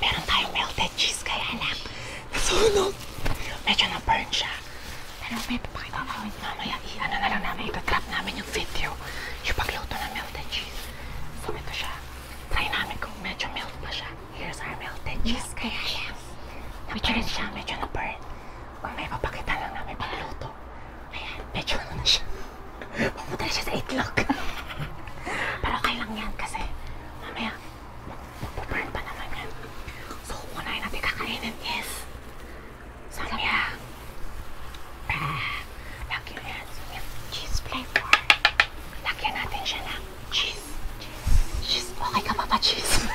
Meron tayong melted cheese kaya lang. Nasunog. Medyo na-burn siya. Pero may papakita namin mamaya. I-ano na lang namin. Ito-trap namin yung video. Yung pagluto ng melted cheese. So ito siya. Try namin kung medyo melt na siya. Here's our melted cheese kaya lang. Medyo rin siya. Medyo na-burn. Kung may papakita lang namin pagluto. Ayan, medyo ano na siya. Pumunta na siya sa 8 o'clock. Pero okay lang yan kasi mamaya magpuburn pa naman yan. So, unahin natin kakainin is samya. Uh, ah, lagyan yan. Samya. Cheese flavor. Lagyan natin siya ng cheese. Cheese. Cheese. Okay ka pa pa cheese?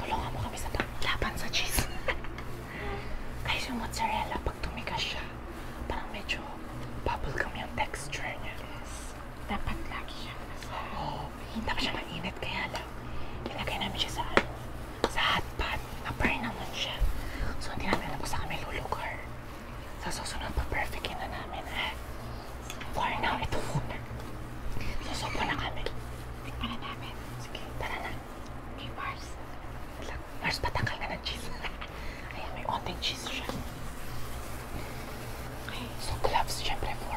Tulungan mo kami sa paglaban sa cheese. Guys, yung mozzarella, pag tumigas siya, parang medyo bubblegum yung texture niya. Yes. Dapat lagi siya. Oo. Oh, hindi pa siya mainit, kaya lang. Ilagay namin siya sa ano, sa hot pot. Na-burn naman siya. So, hindi namin alam kung saan kami lulugar. Sa susunod, pa-perfectin na namin. Eh. For now, ito muna. Susupo na kami. Tikman na namin. Sige, tara na. Okay, Mars. Lang. Mars, patanggal ka ng cheese. Ayan, may onting cheese siya. Okay, so gloves, syempre, for...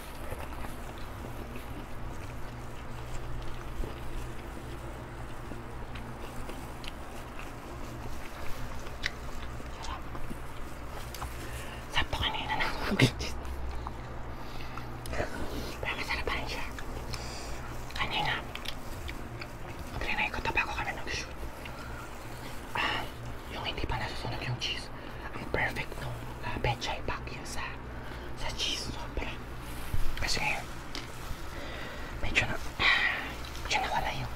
Sarap po kanina na ako Pero masarap rin siya. Kanina, magrinay ko tabago kami nag-shoot. Ah, yung hindi pa nasusunog yung cheese ang perfect nung uh, Pechay Bagyo sa, sa cheese sobra. Kasi ngayon, medyo na, ah, medyo nawala yung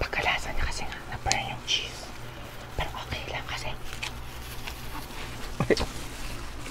pagkalasa niya kasi nga, na-burn yung cheese. Pero okay lang kasi,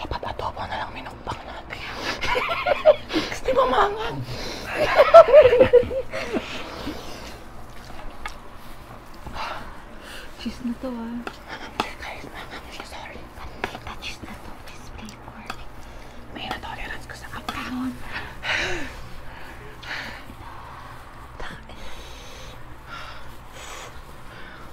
Dapat adobo na lang minukbang natin. Di ba mangan? cheese na to ah. Guys, I'm sorry. Pantay cheese na to. Please be warning. May na-tolerance ko sa kapahon.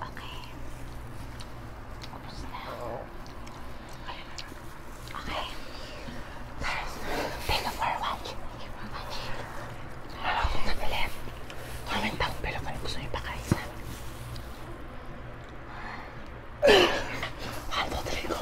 Okay. Ubus na. Okay. Thank you for watching. Thank you for watching. Alam ko na ulit. Comment down below kung gusto nyo ipakain sa amin. Haldo, tuloy ko.